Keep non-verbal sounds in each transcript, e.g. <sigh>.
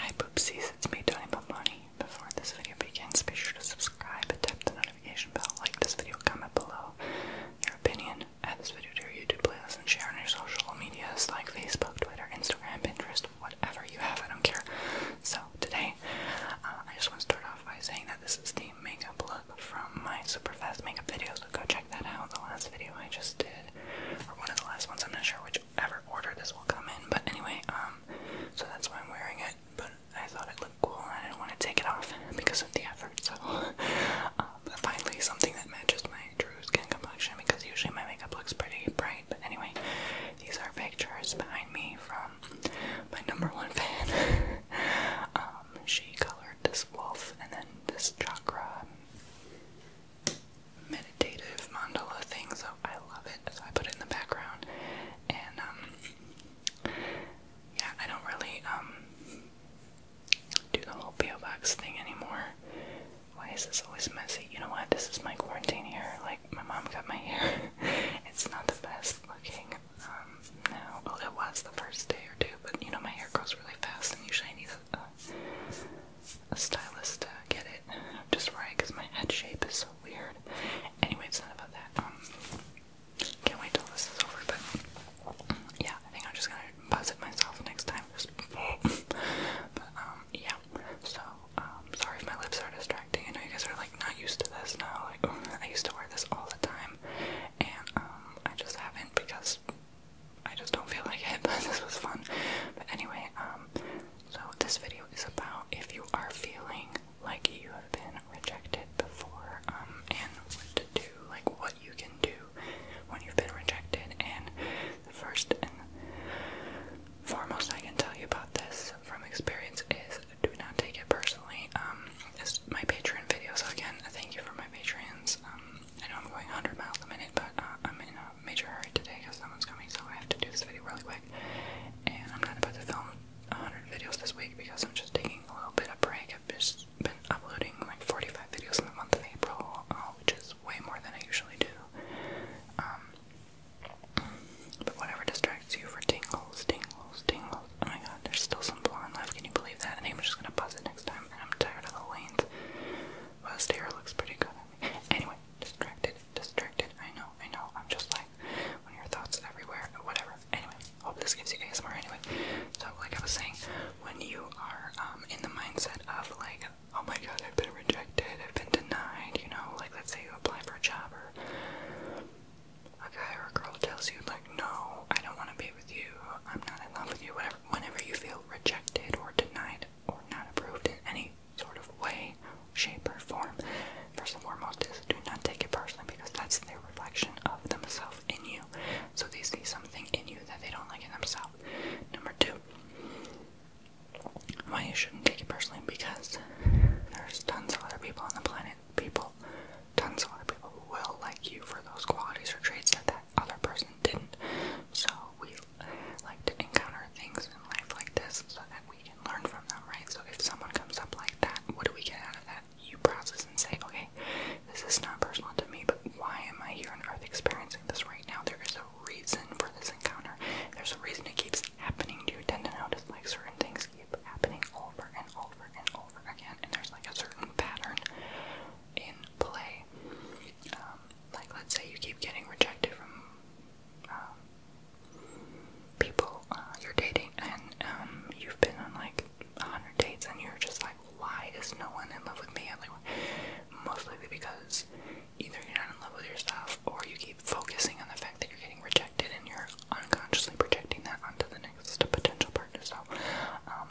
Hi poopsies, it's me, Tony Pomponi. Before this video begins, be sure to subscribe and tap the notification bell, like this video, comment below your opinion, add this video to your YouTube playlist, and share on your social medias like Facebook, Twitter, Instagram, Pinterest, whatever you have, I don't care. So, today, uh, I just want to start off by saying that this is the makeup look from my super fast makeup videos. go check that out. in The last video I just did or one of the last ones. I'm not sure whichever order this will come in, but anyway, um, so that's why I'm wearing it. But I thought it looked cool, and I didn't want to take it off because of the effort. So, <laughs> um, finally, something that matches my true skin complexion because usually my makeup looks pretty bright. But anyway, these are pictures behind me from my number one fan. <laughs> um, she colored this wolf and then this chakra meditative mandala thing, so I love it. I put it in the background, and um, yeah, I don't really um, do the whole PO box thing anymore. Why is this always messy? You know what? This is my quarantine hair. Like my mom cut my hair. <laughs> it's not the best looking. Um, well, it was the first day or two, but you know my hair grows really fast, and usually a stylist to get it just right because my head shape is so weird. Anyway, it's not about that. Um, can't wait till this is over, but yeah, I think I'm just gonna buzz it myself next time. Just <laughs> but um, yeah. So um, sorry if my lips are distracting. I know you guys are like not used to this now. Like <laughs> I used to wear this all the time, and um, I just haven't because I just don't feel like it, <laughs> but this was fun. But anyway, um, so this video is about if you are feeling like you have been rejected before, um, and what to do, like what you can do when you've been rejected. And the first and foremost I can tell you about this from experience is do not take it personally. Um, this my Patreon video, so again, thank you for my Patreons. Um, I know I'm going 100 miles a minute, but uh, I'm in a major hurry today because someone's coming, so I have to do this video really quick. And I'm not about to film 100 videos this week because I'm just taking a little bit of break. I've just been uploading like 45 videos in the month of April, uh, which is way more than I usually do. Um, but whatever distracts you for tingles, tingles, tingles, Oh my god, there's still some blonde left. Can you believe that? I think I'm just gonna pause it next time. I'm tired of the lanes. West hair looks pretty good Anyway, distracted, distracted. I know, I know. I'm just like when your thoughts everywhere, or whatever. Anyway, hope this gives you ASMR. Anyway, so like I was saying, when you are um, in the mindset of like, oh my god, I've been rejected, I've been denied. You know, like let's say you apply for a job or a guy or a girl tells you, like, no, I don't want to be with you, I'm not in love with you, whatever, whenever you feel rejected or denied or not approved in any sort of way, shape, or form, first and foremost is do not take it personally because that's their reflection of themselves in you. So they see something in you that they don't like in themselves. Number two, why you shouldn't take it personally because there's tons of other people on the planet find people, tons of other people who will like you for those qualities or traits that that other person didn't. So we like to encounter things in life like this so that we can learn from them, right? So if someone comes up like that, what do we get out of that? You process and say, okay, this is not personal to me, but why am I here on earth experiencing this right now? There is a reason for this encounter. There's a reason it keeps happening. Do you tend to notice like certain things keep happening over and over and over again, and there's like a certain pattern in play. Um, like, let's say you keep getting rejected from um, people uh, you're dating, and um, you've been on like a hundred dates, and you're just like, why is no one in love with me? And like, most likely because either you're not in love with yourself, or you keep focusing on the fact that you're getting rejected, and you're unconsciously projecting that onto the next potential partner. So, um,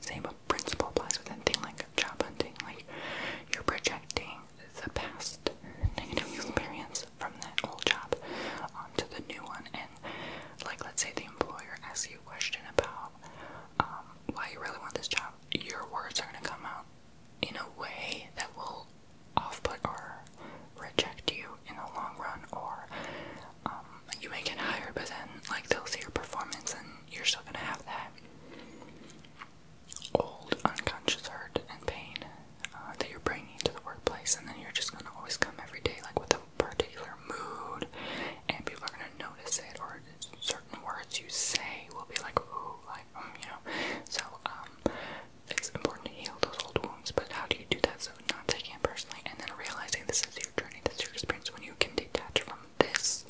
same principle applies with anything like job hunting. Like, you're projecting the past negative experience from that old job onto the new one. And, like, let's say the employer asks you a question about um, why you really want this job, your words are going to come out in a way that will off-put or reject you in the long run, or um, you may get hired, but then like they'll see your performance, and you're still gonna have that old unconscious hurt and pain uh, that you're bringing to the workplace, and then you're just gonna always come every day like with a particular mood, and people are gonna notice it, or certain words you say will be like, ooh, like, um, you know. So, um, it's important to heal those old wounds, but how do you do that? So not taking it personally and then realizing this is your journey, this is your experience. When you can detach from this,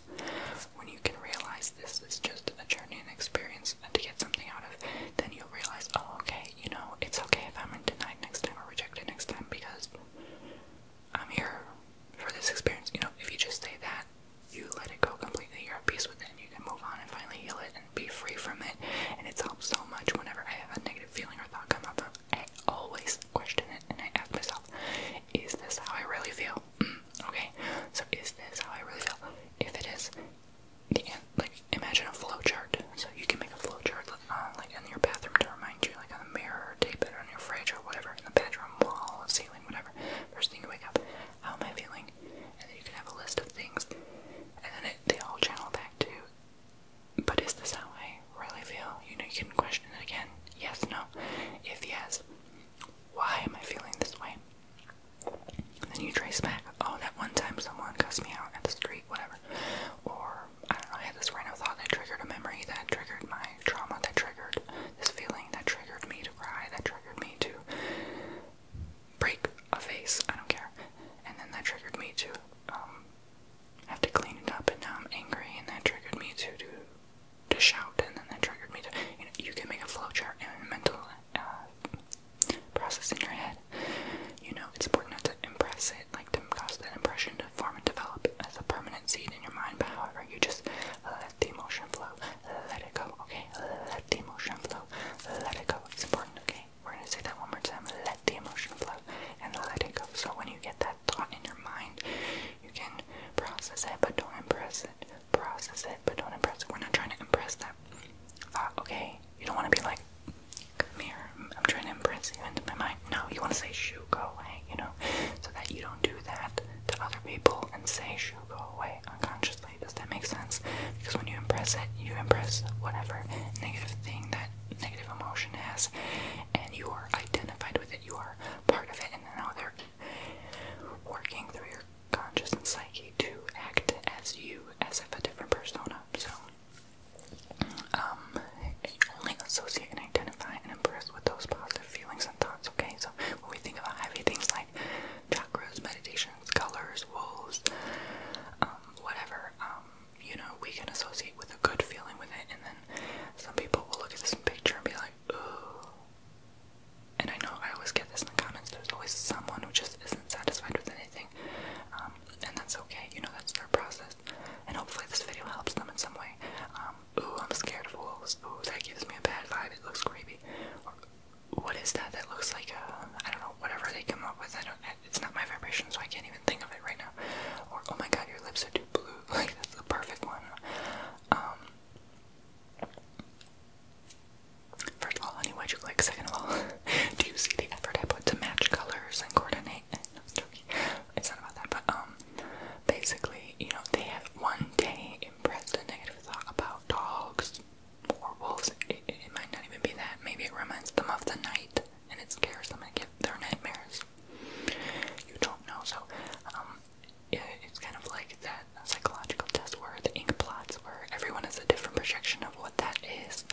when you can realize this is just a journey and experience and to get something out of, then you'll realize, oh, okay, you know, it's okay if I'm denied next time or rejected next time because I'm here for this experience. You know, if you just say that, you let it go completely, you're at peace with it, and you can move on and finally heal it be free from it. And it's helped so much whenever I have a negative feeling or thought come up. I always question it and I ask myself, is this how I really feel? Mm, okay, so is this how I really feel? If it is, like imagine a flow chart. So you can make a flow chart uh, like in your bathroom to remind you, like on the mirror, or tape it on your fridge or whatever, in the bedroom wall, ceiling, whatever. First thing you wake up, how am I feeling? and then you can have a list of things, and then they all channel back to, but is this how I really feel? You know, you can question it again. Yes, no. If yes, why am I feeling this way? And then you trace back, oh, that one time someone cussed me out at the street, whatever. Or, I don't know, I had this random thought that triggered a memory, that triggered my trauma, that triggered this feeling, that triggered me to cry, that triggered me to break a face, I don't care. And then that triggered me to um, have to clean it up, and now I'm angry, and that triggered me to do to shout, and then that triggered me to you can make a flowchart and mental uh, process in your head. You know it's important not to impress it, like to cause that impression to form and develop as a permanent seed in your mind. But however, you just let the emotion flow, let it go. Okay, let the emotion flow. Let it go. It's important, okay? We're gonna say that one more time. Let the emotion flow and let it go. So when you get that thought in your mind, you can process it but don't impress it. Process it but don't impress it. We're not trying to impress that thought, uh, okay? You don't wanna be like, come here, I'm trying to impress you into my mind. No, you wanna say shoot, go away, you know? So that you don't do that to other people and say shoot, go away unconsciously. Does that make sense? Because when you impress it, you impress whatever negative thing that negative emotion has, and you are identified with it, you are part of it, and now they're working through your conscious and psyche to act as you, as if a different persona. So, um, only associate and identify and impress with those positive feelings feelings and thoughts, okay? So when we think about heavy things like chakras, meditations, colors, wolves, um, whatever, um, you know, we can associate with a good feeling with it and then some people will look at this picture and be like, ooh. And I know I always get this in the comments, there's always someone who just isn't satisfied with anything. Um, and that's okay, you know, that's their process. And hopefully this video helps them in some way. Um, ooh, I'm scared of wolves. Ooh, that gives me a bad vibe, it looks creepy. Or, what is that that looks like a I don't know whatever they come up with I don't it's not my vibration so I can't even think of it right now or oh my god your lips are too blue <laughs> like that's the perfect one um first of all honey why'd you like second of all <laughs> do you see the effort I put to match colors and coordinate no, I'm it's not about that but um basically you know they have one day impressed a negative thought about dogs or wolves. It, might not even be that. Maybe it reminds them of the night and it scares them and gives their nightmares. You don't know. So, um, it's kind of like that psychological test where the ink blots, where everyone has a different projection of what that is.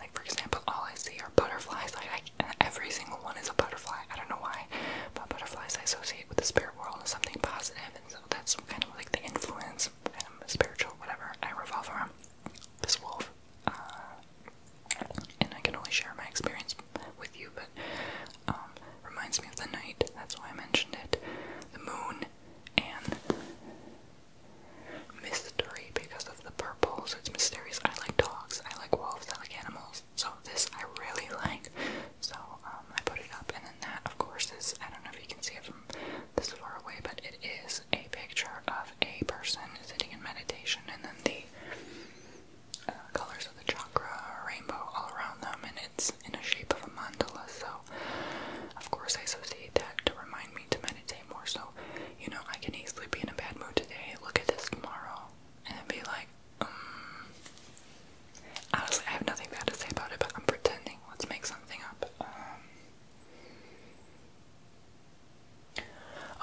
Like, for example, all I see are butterflies. Like, every single one is a butterfly. I don't know why butterfly, but butterflies I associate with the spirit world as something positive, and so that's kind of like the influence, kind of um, spiritual, whatever I revolve around. This wolf, uh, and I can only share my experience with you, but um, reminds me of the night. That's why I mentioned it. The moon and mystery because of the purple, so it's mysterious. I like dogs. I like wolves. I like animals. So this I really like. So um, I put it up, and then that, of course, is I don't know if you can see it from this far away, but it is a picture of a person sitting in meditation, and then the uh, colors of the chakra rainbow all around them, and it's in the shape of a mandala. So, of course, I associate that to remind me to meditate more. So, you know, I can easily be in a bad mood today, look at this tomorrow, and then be like, um, honestly, I have nothing bad to say about it, but I'm pretending. Let's make something up. Um,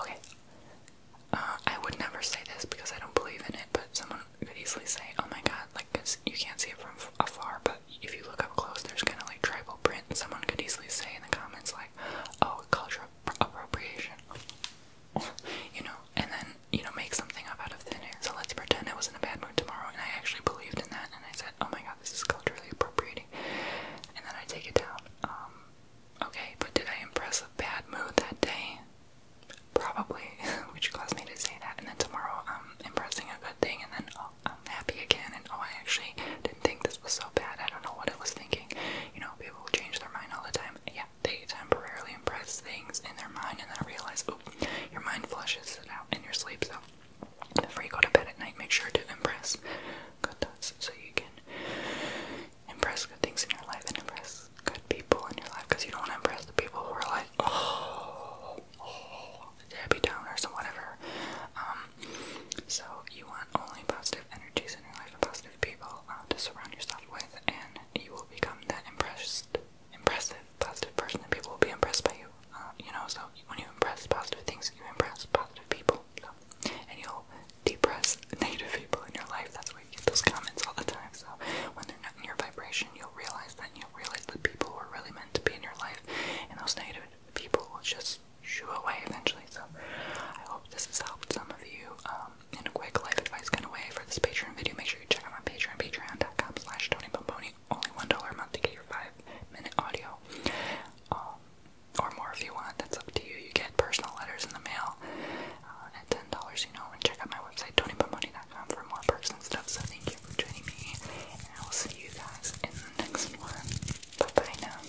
okay. Uh, I would never say this because I don't believe in it, but someone could easily say, oh my god, like, cause you can't see it from afar, but if you look up close, there's kind of like tribal print. Someone could easily say in the comments, like, oh, cultural appropriation. <laughs> you know, and then you know, make something up out of thin air. So let's pretend I was in a bad mood tomorrow and I actually believed in that and I said, oh my god, this is culturally appropriating. And then I take it down. Um, okay, but did I impress a bad mood that day? Probably, <laughs> which caused me to say that. And then tomorrow I'm impressing a good thing and then oh, I'm happy again and oh, I actually didn't think this was so bad. I don't know what I was thinking. You know, people change their mind all the time. Yeah, they temporarily impress things in their mind and then realize, oh, your mind flushes it out in your sleep. So before you go to bed at night, make sure to impress good thoughts so you can impress good things in your life and impress good people in your life because you don't want to impress the people who are like, oh, oh Debbie Downers or whatever. Um, so you want only positive energies in your life and positive people uh, to surround yourself with, and you will become that impressed, impressive, positive person, and people will be impressed by you. Uh, you know, so when you impress positive things, you impress positive people, so, and you'll depress <laughs> negative people in your life. That's why you get those comments all the time. So when they're not in your vibration, you'll realize that you'll realize that people were really meant to be in your life, and those negative people will just shoo away eventually. So I hope this has helped some of you. Um, um, and a quick life advice kind of way for this Patreon video, make sure you check out my Patreon, patreon.com slash tonybomboni, only $1 a month to get your 5-minute audio, um, or more if you want, that's up to you, you get personal letters in the mail uh, at $10, you know, and check out my website, tonybomboni.com for more perks and stuff, so thank you for joining me, and I will see you guys in the next one, bye bye now.